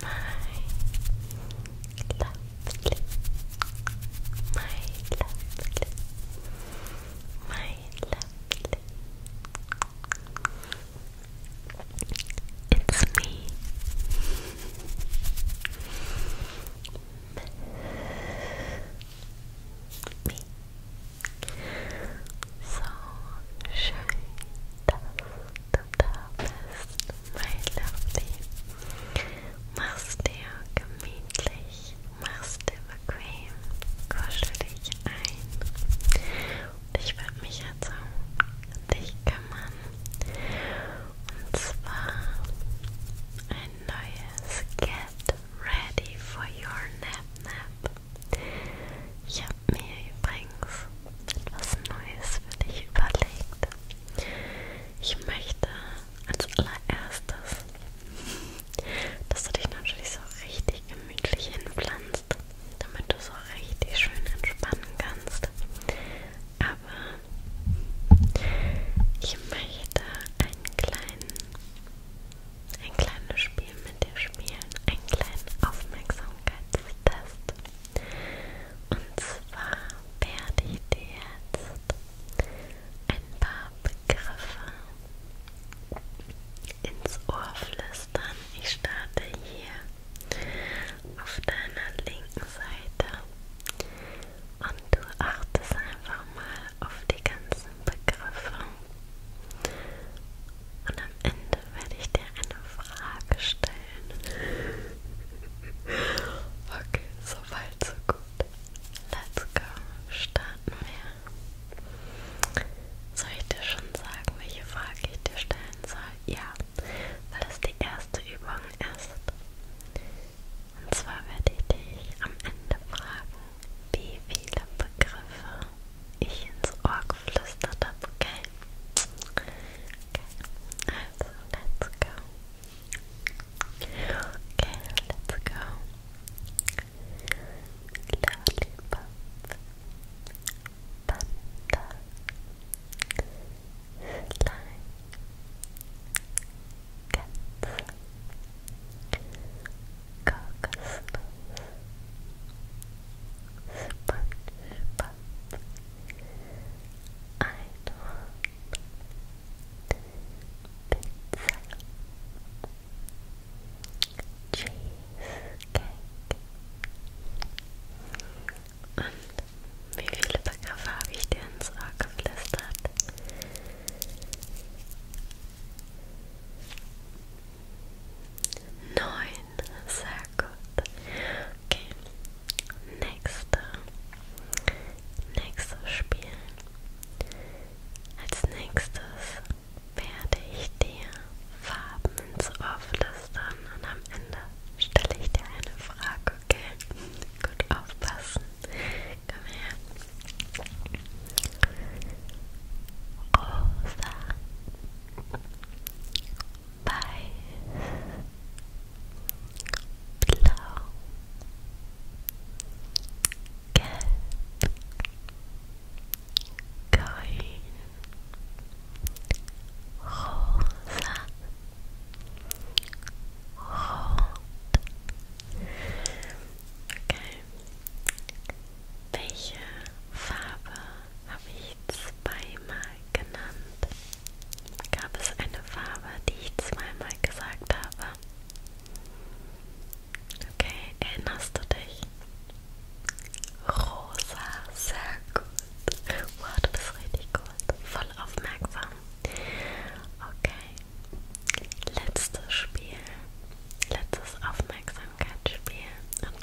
my lovely, my lovely, my lovely. It's me, me. So schön, da bist, mein Lovely. Mach's dir gemütlich, mach's dir bequem, kuschel dich ein. Und ich werde mich jetzt um dich kümmern. Und zwar ein neues Get Ready for Your Nap Nap. Ich habe habe mir übrigens etwas Neues für dich überlegt. Ich möchte als allererstes, dass du dich natürlich so richtig gemütlich hinpflanzt, damit du so richtig schön entspannen kannst. Aber ich möchte einen kleinen, ein kleines Spiel mit dir spielen, einen kleinen Aufmerksamkeitstest. Und zwar werde ich dir jetzt ein paar Begriffe ins Ohr flüstern. Ich starte hier auf deiner linken Seite und du achtest einfach mal auf die ganzen Begriffe und am Ende werde ich dir eine Frage stellen. okay, so weit, so gut. Let's go. Starten wir. Soll ich dir schon sagen, welche Frage ich dir stellen soll? Ja, weil es die erste Übung ist. Und zwar werde ich dich am Ende fragen, wie viele Begriffe ich ins Ohr geflüstert habe, okay? Okay, so let's go. Okay, let's go. Lollipop. Panda. Slime. Cats. Caucus. Sponge. Pop. Pop. Cheesecake und wie viele Begriffe habe ich dir ins Ohr geflüstert? Neun Nein, sehr gut. Okay, nächster. Nächstes Spiel. Als nächstes werde ich dir Farben ins Ohr flüstern und am Ende stelle ich dir eine Frage, okay? Gut aufpassen. Komm her. Rosa. Weiß, Blau, Gelb, Grün, Rosa, Rot. Okay. Welche Farbe habe ich zweimal genannt. Gab es eine Farbe, die ich zweimal gesagt habe? Okay, erinnerst du dich? Rosa, sehr gut. Wow, du bist richtig gut. Voll aufmerksam. Okay, letztes Spiel. Letztes Aufmerksamkeitsspiel. Und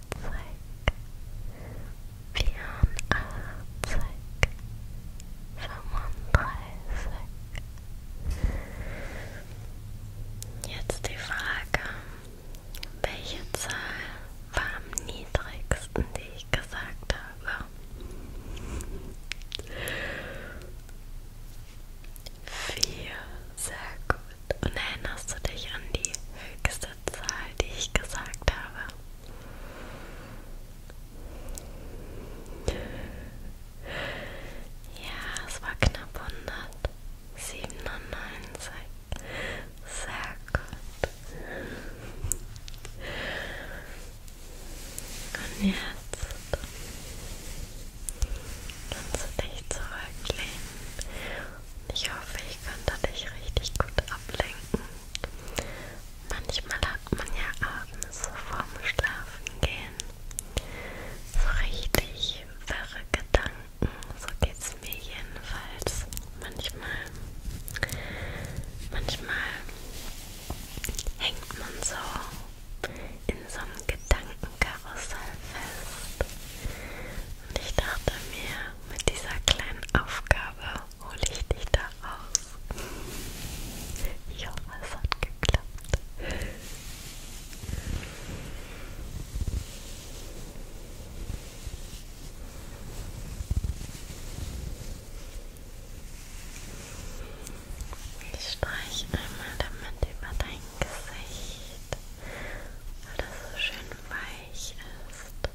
Zeig, vierundachtzig, fünfunddreißig. Jetzt die Frage, welche Zahl war am niedrigsten, die ich gesagt habe? Vier, sehr gut. Gut. Und erinnerst du dich an die höchste Zahl, die ich gesagt habe? Ja, es war knapp 197. Sehr gut. Und jetzt kannst du dich zurücklehnen ich hoffe, ich konnte dich richtig gut ablenken. Manchmal hat man ja abends vorm Schlafen gehen so richtig wirre Gedanken. So geht's mir jedenfalls. Manchmal, manchmal hängt man so in so einem Gedankenkarussell fest und ich dachte mir, mit dieser kleinen Aufgabe hole ich dich da raus. Ich hoffe, es hat geklappt. Ich streiche einmal damit über dein Gesicht, weil das so schön weich ist. Sehr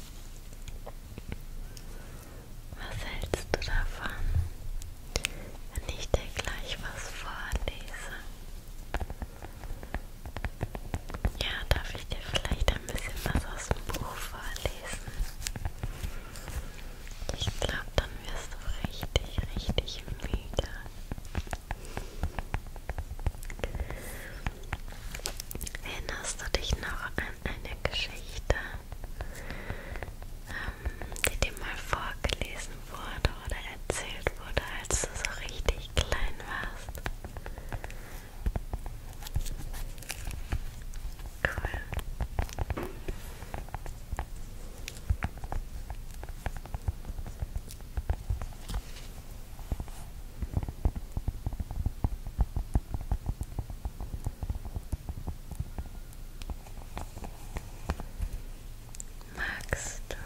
Was hältst du davon, wenn ich dir gleich was vorlese? Ja, darf ich dir vielleicht ein bisschen was aus dem Buch vorlesen? Ich glaube, dann wirst du richtig, richtig müde. Erinnerst du dich noch an eine Geschichte, ähm, die dir mal vorgelesen wurde oder erzählt wurde, als du so richtig klein warst? Cool. Magst du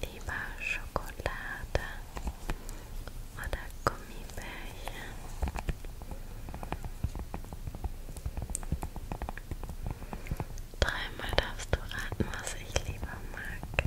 lieber Schokolade oder Gummibärchen? Dreimal darfst du raten, was ich lieber mag.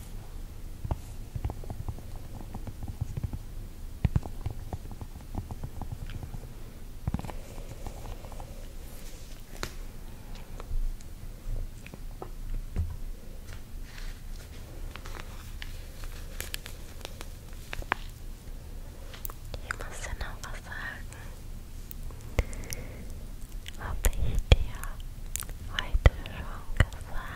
Ich muss dir noch was sagen. Habe ich dir heute schon gesagt?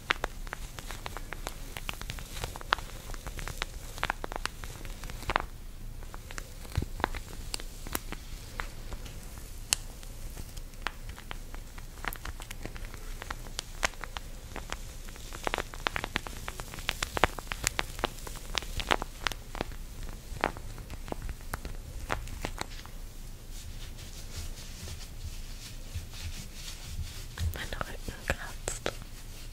Mein Rücken kratzt.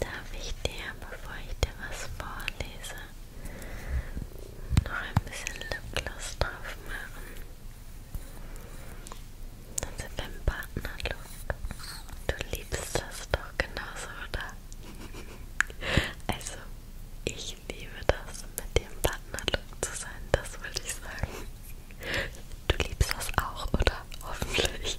Darf ich dir, bevor ich dir was vorlese, noch ein bisschen Lipgloss drauf machen? Dann sind wir im Partnerlook. Du liebst das doch genauso, oder? Also, ich liebe das, mit dem Partnerlook zu sein, das wollte ich sagen. Du liebst das auch, oder? Hoffentlich.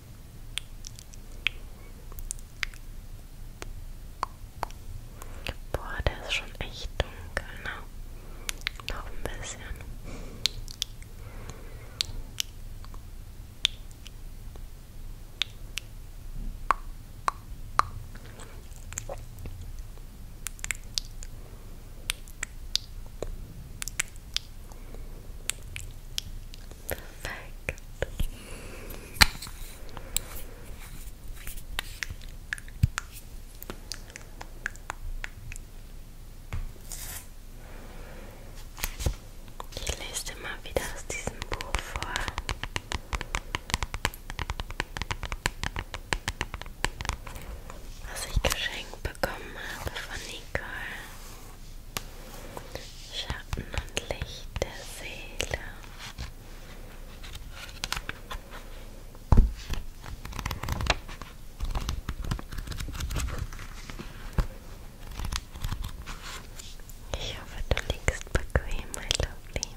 Boah, der ist schon echt dunkel, ne? Noch ein bisschen. Perfekt. Ich lese dir mal wieder aus diesem Buch vor. Was ich geschenkt bekommen habe von Nicole. Schatten und Licht der Seele. Ich hoffe, du liegst bequem, mein Lovely.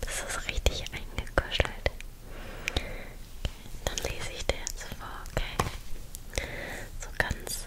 Das ist richtig eingekuschelt. Okay, dann lese ich dir jetzt vor, okay? So ganz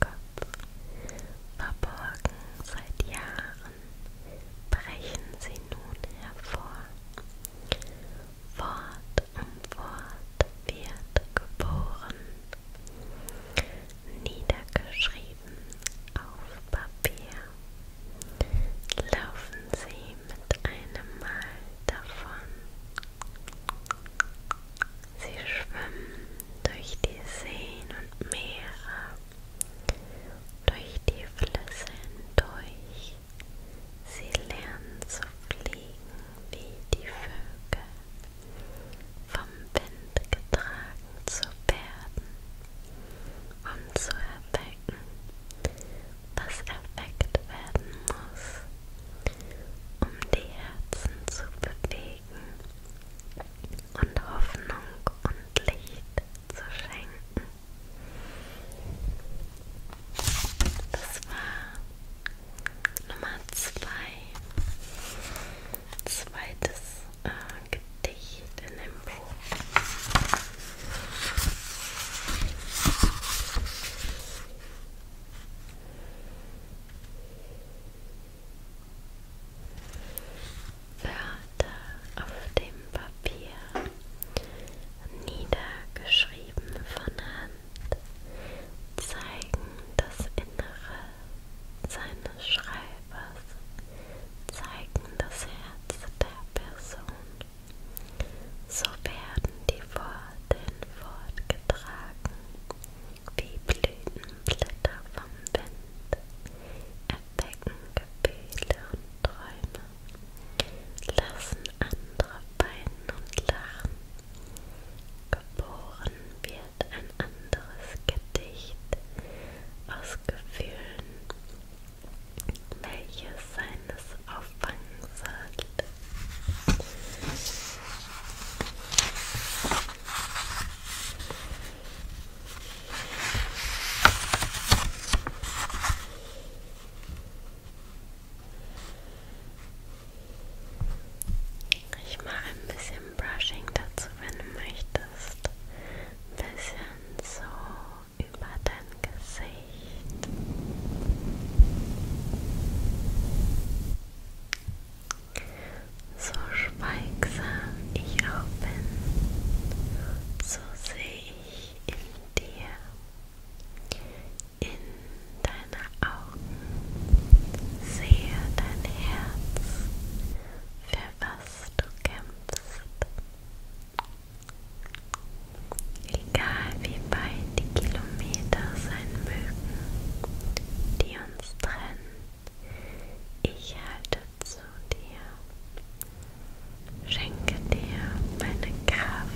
Kopf, verborgen seit Jahren, brechen sie nun hervor. Wort um Wort wird geboren, niedergeschrieben auf Papier, laufen sie mit einem Mal davon. Sie schwimmen durch die Seen und Meere, durch die Flüsse hindurch. Sie lernen zu fliegen wie die Vögel, vom Wind getragen zu werden, um zu erwecken, was erweckt werden muss, um die Herzen zu bewegen Wegen und Hoffnung und Licht zu schenken. Das war Nummer zwei. Zweites äh, Gedicht in dem Buch. Wörter auf dem Papier niedergeschrieben von Hand zeigen das Innere seines Schreibers, zeigen das Herz der Person. So werden die Worte in Wort getragen wie Blütenblätter vom Wind, erwecken Gefühle und Träume, lassen andere weinen und lachen. Geboren wird ein anderes Gedicht aus Gefühlen, welches seines auffangen sollte. Ich mache ein bisschen Brushing dazu, wenn du möchtest. Ein bisschen so über dein Gesicht. So schweigsam ich auch bin, so sehe ich in dir, in deine Augen, sehe dein Herz, für was du kämpfst. Egal wie weit die Kilometer sein mögen, die ganz drin. Ich halte zu dir, schenke dir meine Kraft,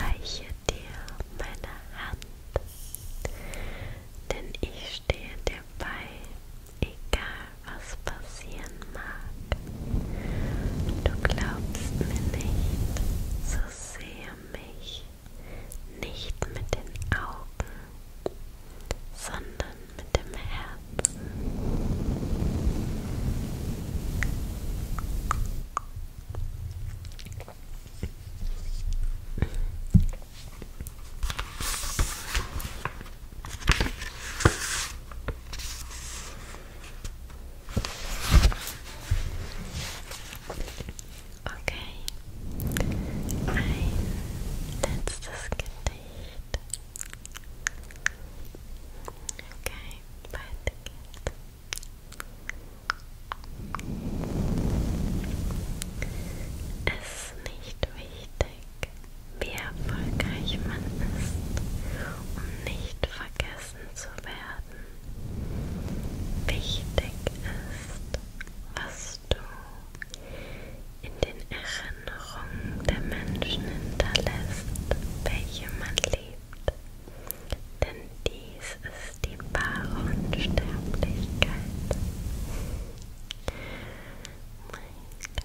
reiche dir meine Hand, denn ich stehe dir bei, egal was passieren mag. Du glaubst mir nicht, so sehe mich nicht mit den Augen, sondern mit dem Herzen. Okay. Ein letztes Gedicht. Okay, weiter geht's. Es ist nicht wichtig, wie erfolgreich man ist, um nicht vergessen zu werden wichtig ist, was du in den Erinnerungen der Menschen hinterlässt, welche man liebt. Denn dies ist die wahre Unsterblichkeit. Mein Gott.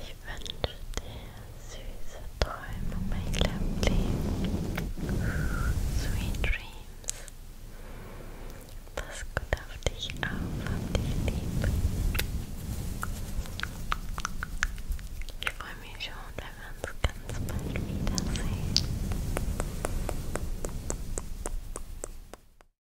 Ich wünsche dir süße Träume, mein Lovely. Sweet Dreams. Pass gut auf dich auf, hab dich lieb. Ich freue mich schon, wenn wir uns ganz bald wiedersehen.